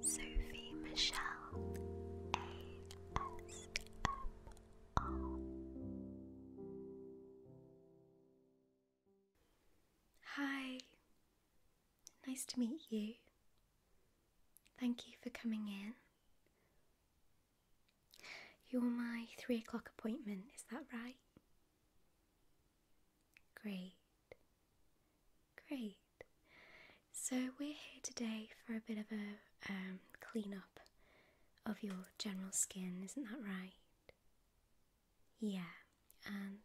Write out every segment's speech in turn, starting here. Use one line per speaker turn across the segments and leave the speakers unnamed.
Sophie Michelle ASMR. Hi, nice to meet you. Thank you for coming in. You're my three o'clock appointment, is that right? Great. Great. So we're here today for a bit of a um, clean-up of your general skin, isn't that right? Yeah, and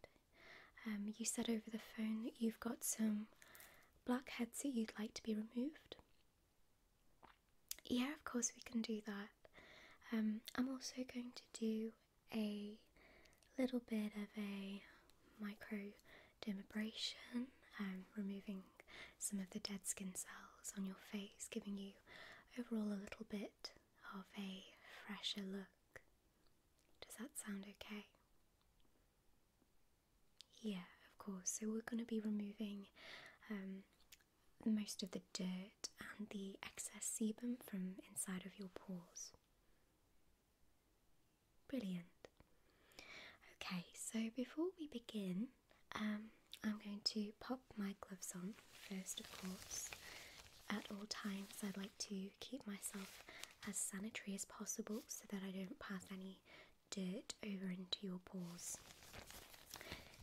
um, you said over the phone that you've got some blackheads that you'd like to be removed. Yeah, of course we can do that. Um, I'm also going to do a little bit of a microdermabrasion, um, removing some of the dead skin cells on your face, giving you overall a little bit of a fresher look. Does that sound okay? Yeah, of course. So we're going to be removing um, most of the dirt and the excess sebum from inside of your pores. Brilliant. Okay, so before we begin, um, I'm going to pop my gloves on first, of course. At all times, I'd like to keep myself as sanitary as possible so that I don't pass any dirt over into your pores.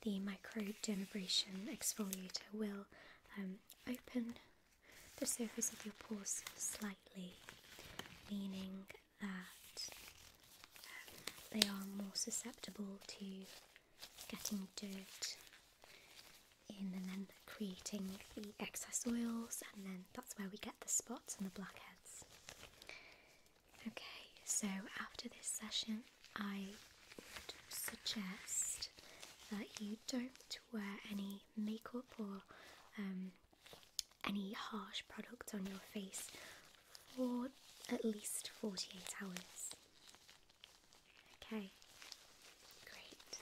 The micro exfoliator will um, open the surface of your pores slightly, meaning that um, they are more susceptible to getting dirt in and then creating the excess oils, and then that's where we get the spots and the blackheads. Okay, so after this session, I would suggest that you don't wear any makeup or um, any harsh products on your face for at least 48 hours. Okay, great.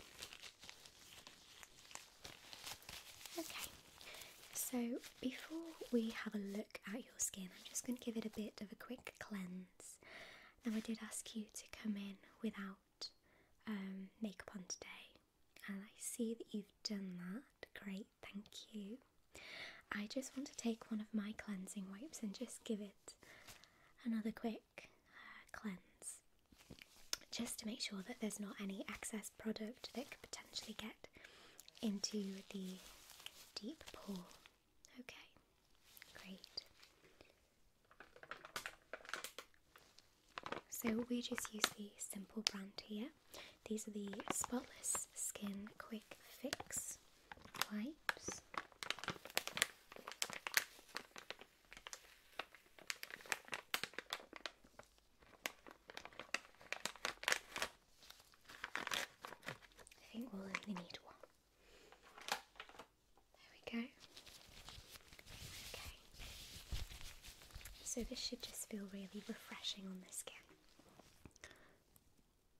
Okay, so before we have a look at your skin, I'm just going to give it a bit of a quick cleanse. Now, I did ask you to come in without um, makeup on today and I see that you've done that. Great, thank you. I just want to take one of my cleansing wipes and just give it another quick uh, cleanse just to make sure that there's not any excess product that could potentially get into the deep pore. Okay, great. So we just use the Simple brand here. These are the Spotless Skin Quick Fix wipes. I think we'll only need one. There we go. Okay. So this should just feel really refreshing on the skin.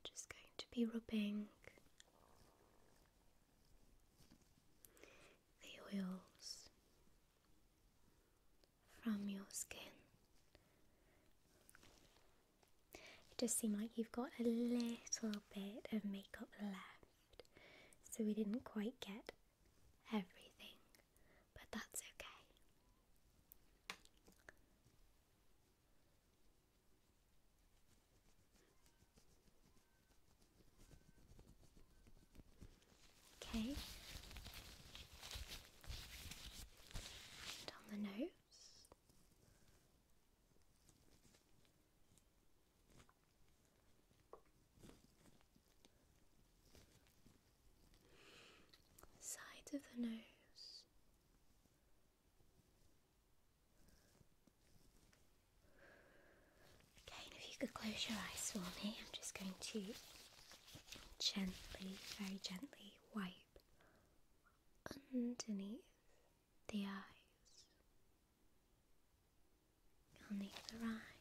Just going to be rubbing the oils from your skin. It does seem like you've got a little bit of makeup left, so we didn't quite get everything, but that's okay. Okay. And the nose side of the nose. Again, if you could close your eyes for me, I'm just going to gently, very gently wipe underneath the eyes. You'll need the rye.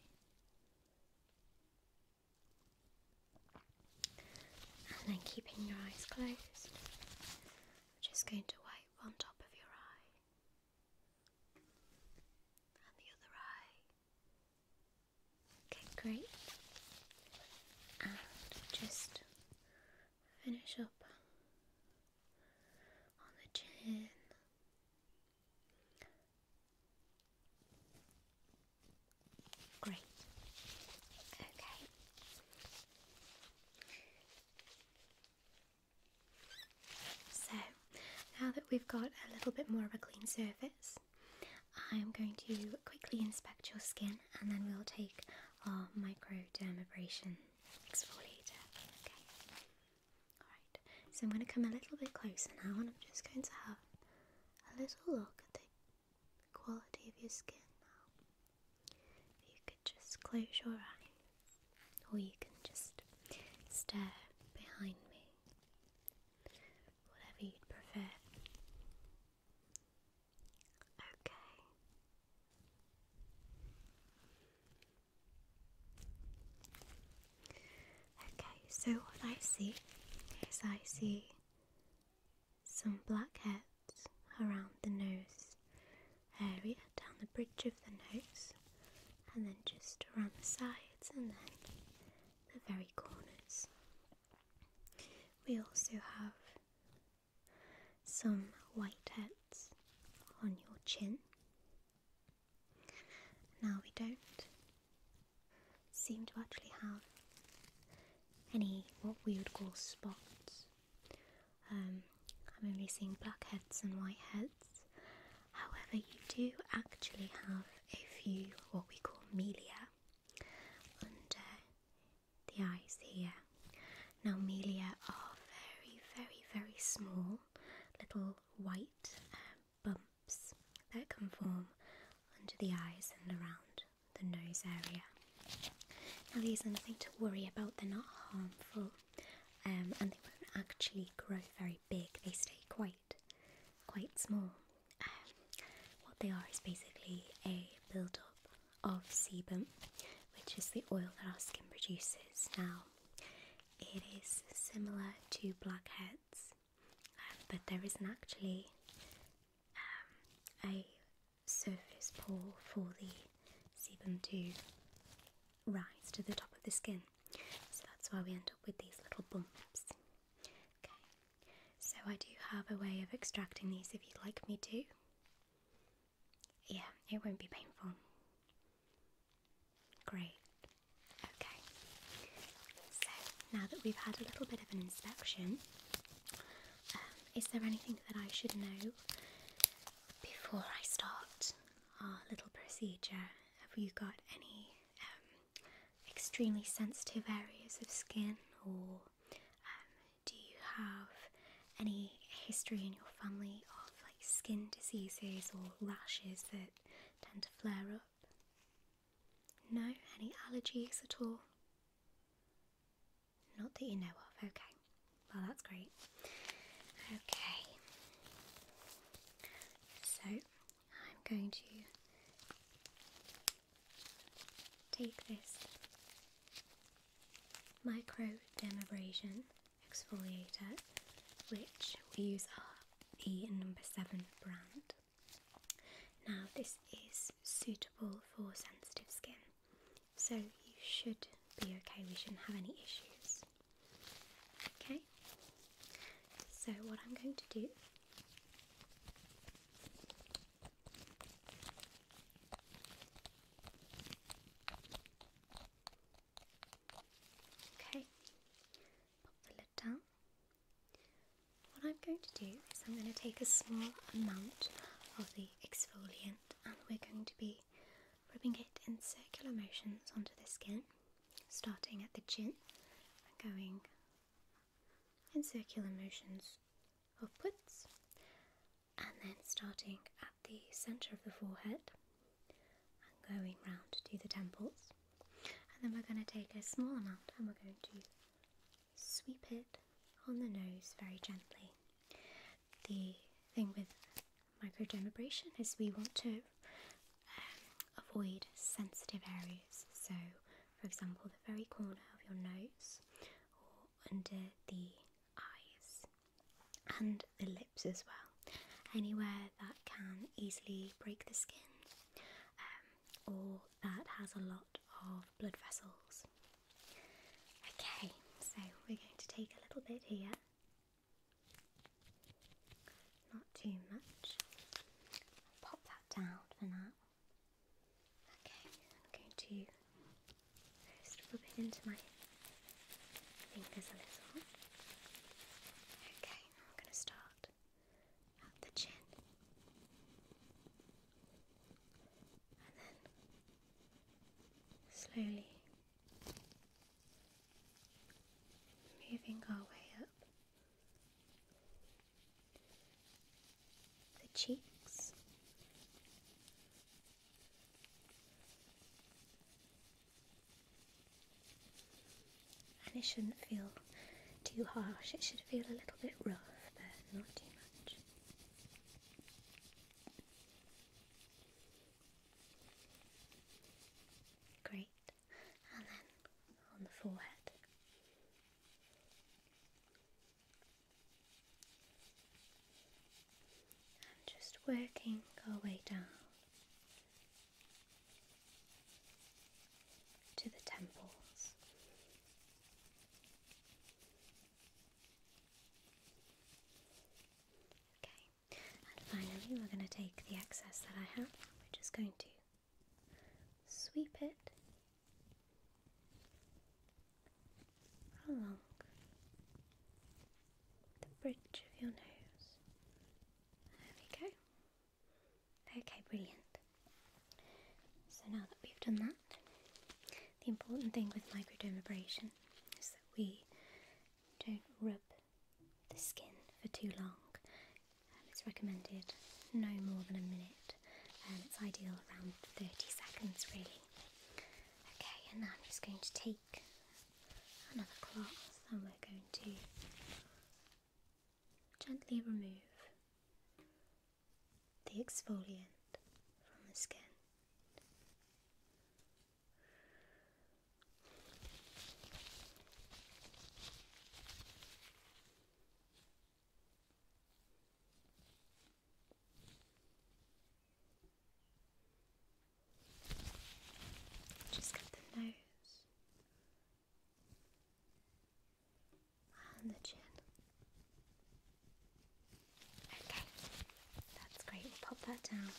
And then keeping your eyes closed, I'm just going to wipe on top of your eye and the other eye. Okay, great. And just finish up on the chin Great. Okay. So, now that we've got a little bit more of a clean surface, I'm going to quickly inspect your skin and then we'll take our microdermabrasion exfoliator. Okay. Alright, so I'm going to come a little bit closer now and I'm just going to have a little look at the quality of your skin now. you could just close your eyes, or you can just stare behind me, whatever you'd prefer. Okay. Okay, so what I see is I see some blackheads around the nose area, down the bridge of the nose, and then just around the sides and then the very corners. We also have some whiteheads on your chin now we don't seem to actually have any what we would call spots. Um, I'm only seeing blackheads and whiteheads. However, you do actually have a few what we call melia under the eyes here. Now, melia are very, very, very small little white um, bumps that can form under the eyes and around the nose area. Now, these are nothing to worry about, they're not harmful um, and they won't actually grow very big, they stay quite, quite small. Um, what they are is basically a build up of sebum, which is the oil that our skin produces. Now, it is similar to blackheads, um, but there isn't actually um, a surface pore for the sebum to rise to the top of the skin. So that's why we end up with these little bumps. Okay, so I do have a way of extracting these if you'd like me to. Yeah, it won't be painful. Great. Okay. So now that we've had a little bit of an inspection, um, is there anything that I should know before I start our little procedure? Have you got any um, extremely sensitive areas of skin, or um, do you have any history in your family of like skin diseases or lashes that tend to flare up? No, any allergies at all? Not that you know of, okay. Well, that's great. Okay, so I'm going to take this micro dermabrasion exfoliator, which we use are the number seven brand. Now, this is suitable for sensitive skin, so you should be okay. We shouldn't have any issues. Okay, so what I'm going to do. Okay, pop the lid down. What I'm going to do is I'm going to take a small amount of the exfoliant and we're going to be rubbing it in circular motions onto the skin, starting at the chin and going in circular motions upwards and then starting at the center of the forehead and going round to the temples. And then we're going to take a small amount and we're going to sweep it on the nose very gently. The thing with microdermabrasion is we want to um, avoid sensitive areas. So, for example, the very corner of your nose or under the eyes and the as well, anywhere that can easily break the skin um, or that has a lot of blood vessels. Okay, so we're going to take a little bit here, not too much. Pop that down for now. Okay, I'm going to first rub it into my fingers a little. Okay, I'm gonna start at the chin and then slowly moving our way up the cheeks and it shouldn't feel too harsh, it should feel a little bit rough, but not too much. Great. And then on the forehead. And just working our way down to the temples. Okay, and finally, we're going to take the excess that I have, we're just going to sweep it along the bridge of your nose there we go. Okay, brilliant. So now that we've done that, the important thing with microdermabrasion is that we don't rub the skin for too long. Um, it's recommended no more than a minute, and it's ideal around 30 seconds really. Okay, and now I'm just going to take another class and we're going to gently remove the exfoliant from the skin. Just get the nose and the chin. Okay, that's great. We'll pop that down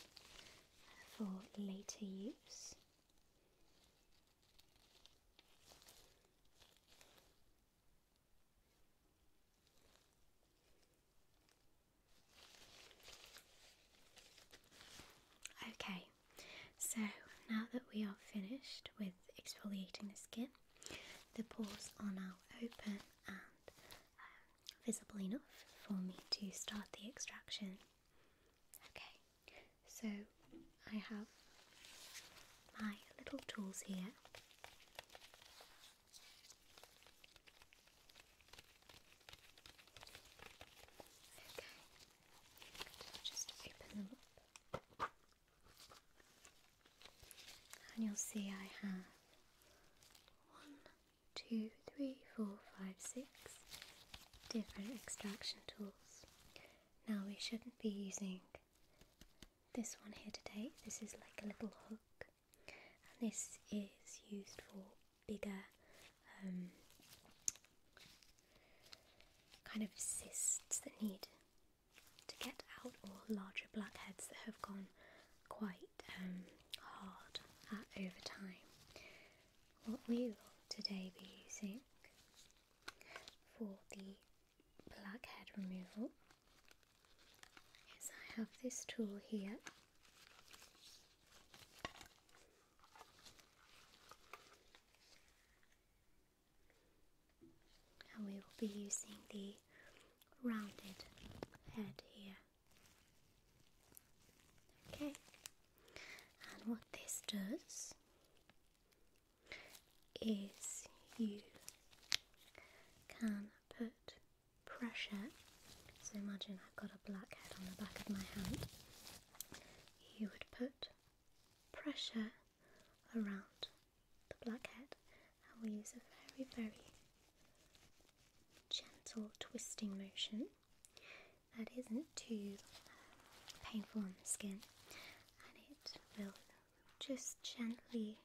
for later use. Okay, so now that we are finished with exfoliating the skin, the pores are now open and um, visible enough for me to start the extraction. Okay, so I have my little tools here i just open them up. And you'll see I have one, two, three, four, five, six different extraction tools. Now we shouldn't be using this one here today. This is like a little hook, and this is used for bigger um, kind of cysts that need to get out, or larger blackheads that have gone quite um, hard at, over time. What we will today be using for the blackhead removal is I have this tool here and we will be using the rounded head here. Okay, and what this does is you can put pressure. So imagine I've got a black on the back of my hand, you would put pressure around the blackhead and we use a very, very gentle twisting motion that isn't too uh, painful on the skin and it will just gently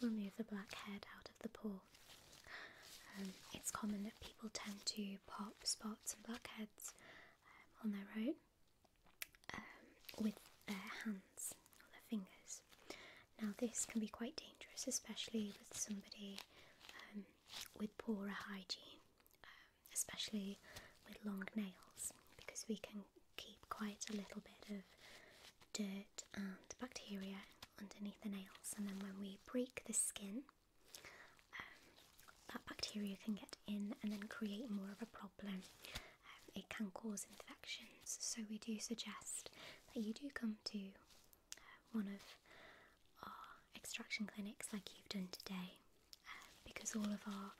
remove the black head out of the pore um, it's common that people tend to pop spots and blackheads um, on their own um, with their hands or their fingers. Now, this can be quite dangerous, especially with somebody with poorer hygiene, especially with long nails, because we can keep quite a little bit of dirt and bacteria underneath the nails, and then when we break the skin um, that bacteria can get in and then create more of a problem. Um, it can cause infections, so we do suggest that you do come to uh, one of our extraction clinics like you've done today uh, because all of our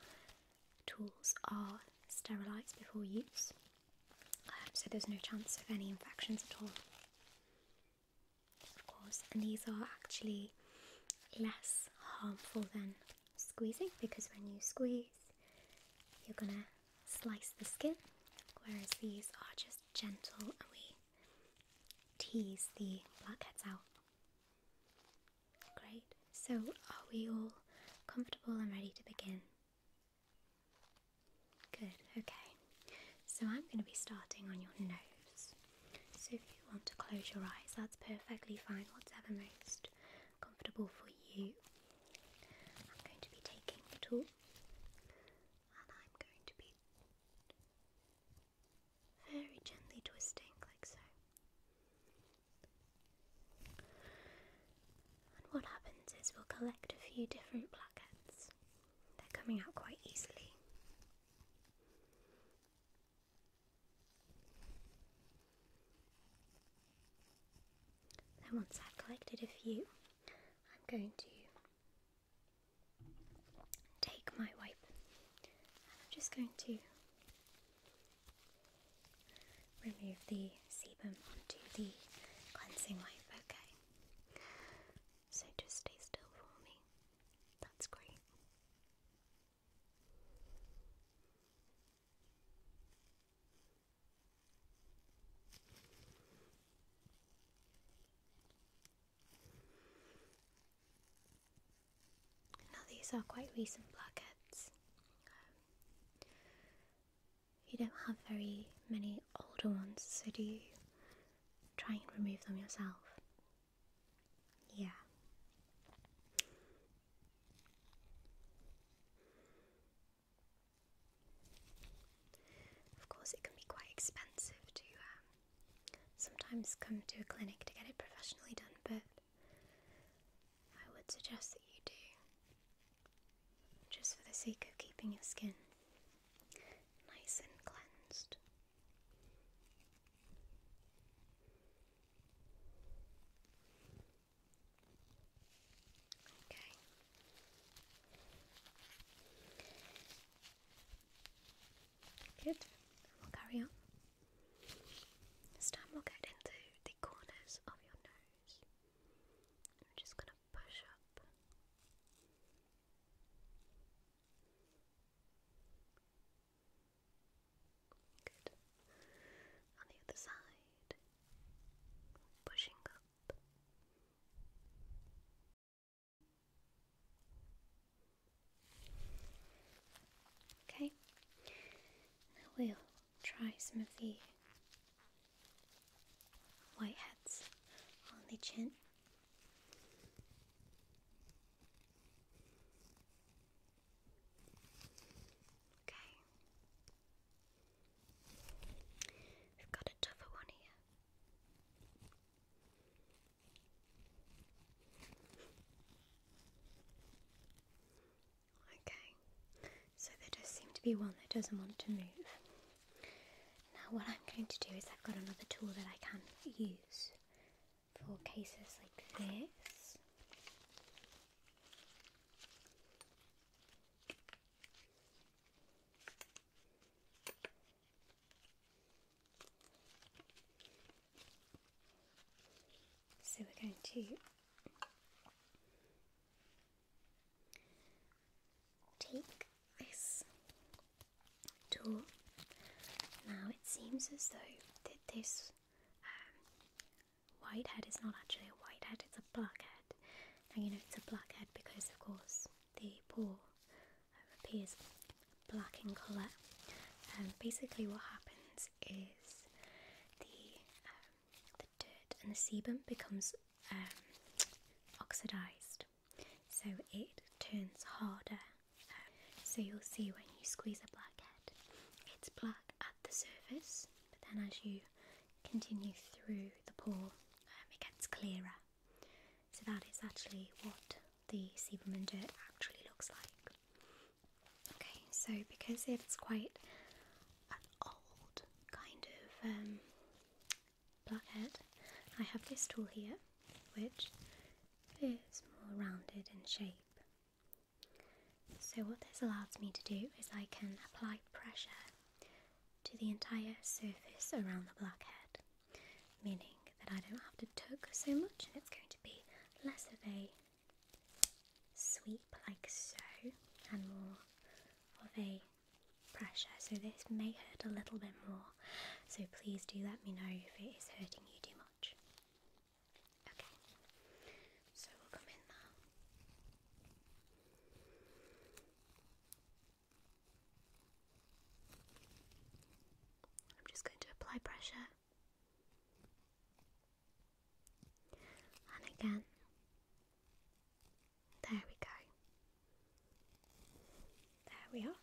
tools are sterilised before use, um, so there's no chance of any infections at all of course, and these are actually less harmful than squeezing because when you squeeze, you're gonna slice the skin, whereas these are just gentle and we tease the blackheads out. Great, so are we all comfortable and ready to begin? Good, okay so I'm going to be starting on your nose. So if you want to close your eyes, that's perfectly fine, whatever most comfortable for you. I'm going to be taking the tool and I'm going to be very gently twisting, like so. And what happens is we'll collect a few different plaquettes. They're coming out quite easily. Now once I've collected a few, I'm going to take my wipe and I'm just going to remove the sebum onto the cleansing wipe, okay? So just stay still for me. That's great. Now, these are quite recent blackheads. Um, you don't have very many older ones, do you? try and remove them yourself. Yeah. Of course, it can be quite expensive to um, sometimes come to a clinic to get it professionally done, but I would suggest that you do just for the sake of keeping your skin nice and cleansed. Okay. Good. We'll carry on. This time we'll get into the corners of your nose. I'm just going to push up Good. On the other side, pushing up. Okay, now we'll try some of the white hats on the chin. Okay. We've got a one here. Okay, so there does seem to be one that doesn't want to move. Now what I'm going to do is I've got another tool that I can use for cases like this. So we're going to take this now it seems as though that this um, white head is not actually a white head, it's a black head. Now you know it's a black head because of course the paw appears black in colour. And um, basically what happens is the, um, the dirt and the sebum becomes um, oxidized so it turns harder. Um, so you'll see when you squeeze a blackhead, it's black at the surface, but then as you continue through the pore, um, it gets clearer. So that is actually what the Sieberman dirt actually looks like. Okay, so because it's quite old kind of um, blackhead, I have this tool here, which is more rounded in shape. So what this allows me to do is I can apply pressure to the entire surface around the blackhead, meaning that I don't have to tug so much and it's going to be less of a sweep like so and more of a pressure, so this may hurt a little bit more. So please do let me know if it is hurting you too much. Okay, so we'll come in now. I'm just going to apply pressure. And again. There we go. There we are.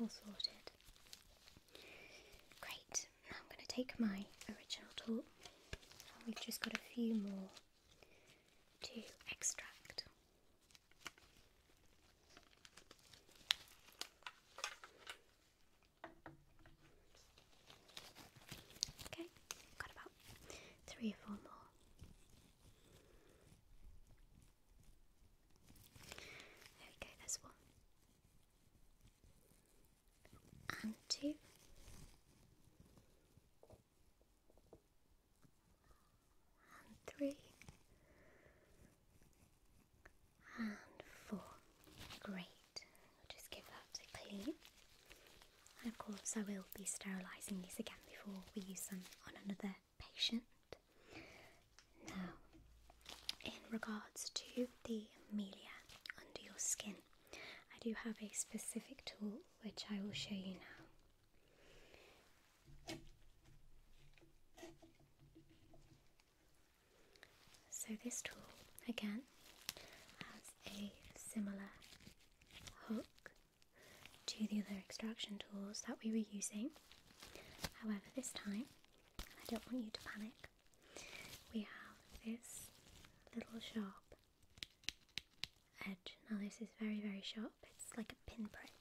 All sorted. Great, now I'm going to take my original tool and we've just got a few more to extract. Okay, got about three or four more. There there's one. And two. And three. And four. Great just give that a clean. And of course, I will be sterilising these again before we use them on another patient. Now, in regards to the melia under your skin, I do have a specific tool which I will show you now. So, this tool again has a similar hook to the other extraction tools that we were using. However, this time, I don't want you to panic, we have this little sharp edge. Now, this is very, very sharp, it's like a pinprick.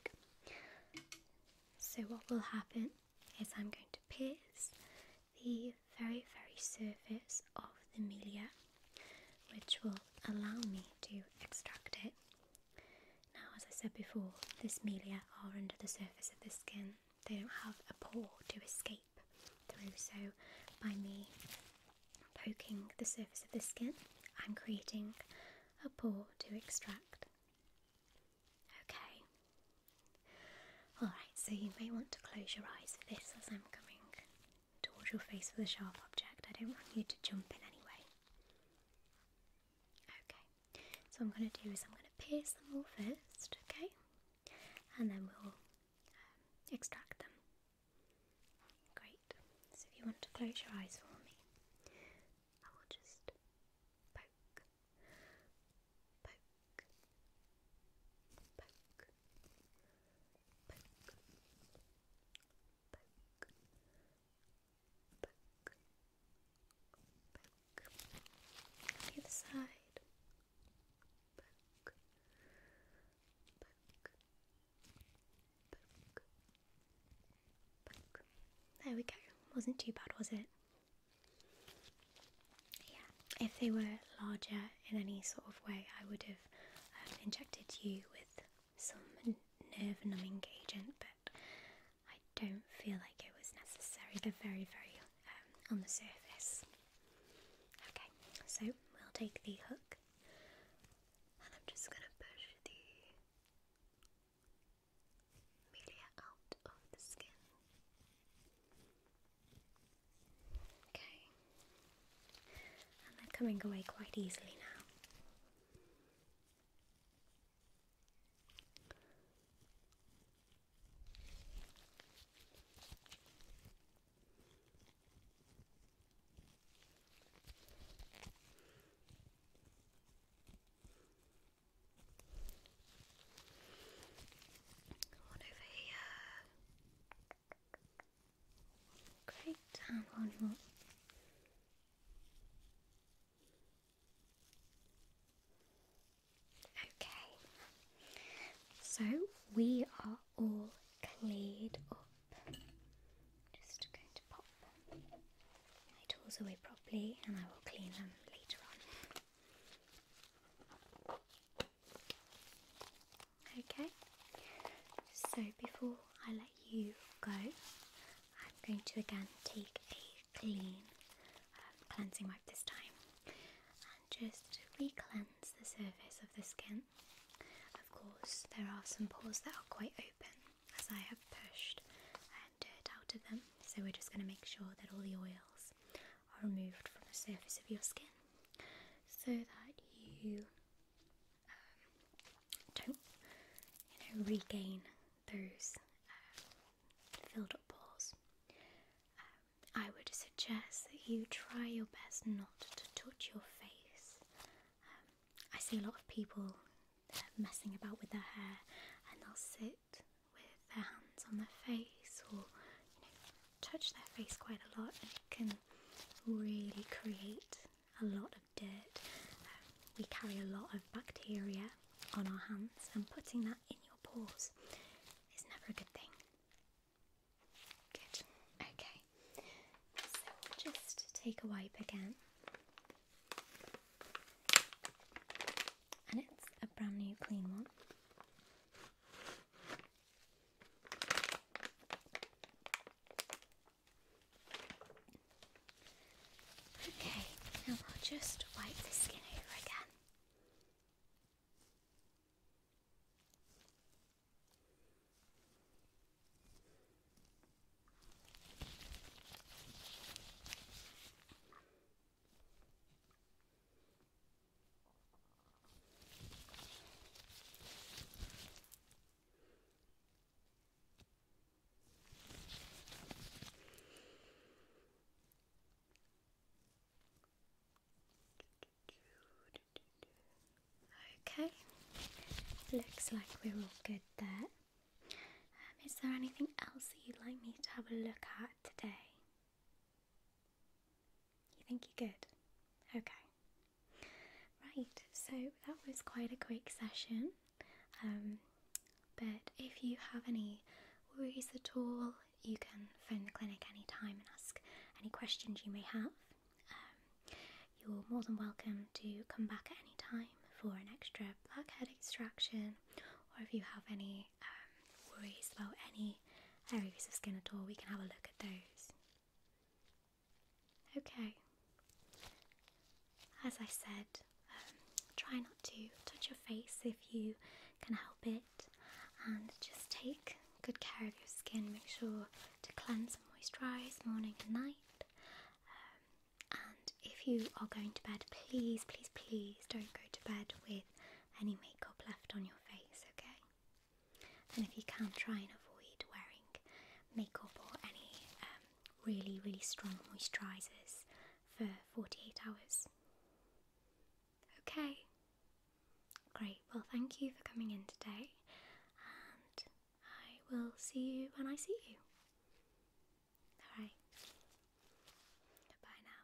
So, what will happen is I'm going to pierce the very, very surface of the melia, which will allow me to extract it. Now, as I said before, this melia are under the surface of the skin, they don't have a pore to escape through. So, by me poking the surface of the skin, I'm creating a pore to extract. Okay. Alright, so you may want to close your eyes for this as I'm coming towards your face with a sharp object. I don't want you to jump in any way. Okay, so I'm going to do is I'm going to pierce them all first, okay? And then we'll um, extract them. Great. So if you want to close your eyes for me, I will just poke, poke, poke, Either side, There we go. Wasn't too bad, was it? Yeah, if they were larger in any sort of way, I would have um, injected you with some nerve numbing agent, but I don't feel like it was necessary. They're very, very um, on the surface. Okay, so we'll take the hook and I'm just going to push the media out of the skin. Okay. And they're coming away quite easily now. One over here. Great, Okay, so we are all cleared up. Just going to pop my tools away properly and I will clean them later on. Okay, so before I let you go, I'm going to again take a clean um, cleansing wipe this time and just re cleanse the surface of the skin. Of course, there are some pores that are quite open as I have pushed um, dirt out of them, so we're just going to make sure that all the oils are removed from the surface of your skin so that you um, don't you know, regain those um, filled up pores. Um, I would suggest that you try your best not to touch your face. I see a lot of people uh, messing about with their hair and they'll sit with their hands on their face or you know, touch their face quite a lot and it can really create a lot of dirt. we carry a lot of bacteria on our hands and putting that in your pores is never a good thing. Good. Okay. So we'll just take a wipe again. And it's a brand new clean one. Okay, now I'll just wipe the skin over again. Okay, looks like we're all good there. Um, is there anything else that you'd like me to have a look at today? You think you're good? Okay. Right, so that was quite a quick session. Um, but if you have any worries at all, you can phone the clinic anytime and ask any questions you may have. Um, you're more than welcome to come back at any time for an extra blackhead extraction, or if you have any um, worries about any areas of skin at all, we can have a look at those. Okay. As I said, um, try not to touch your face if you can help it, and just take good care of your skin. Make sure to cleanse and moisturise morning and night. Um, and if you are going to bed, please, please, please don't go to bed with any makeup left on your face, okay? And if you can, try and avoid wearing makeup or any um, really, really strong moisturisers for 48 hours. Okay. Great. Well, thank you for coming in today, and I will see you when I see you. All right. Goodbye now.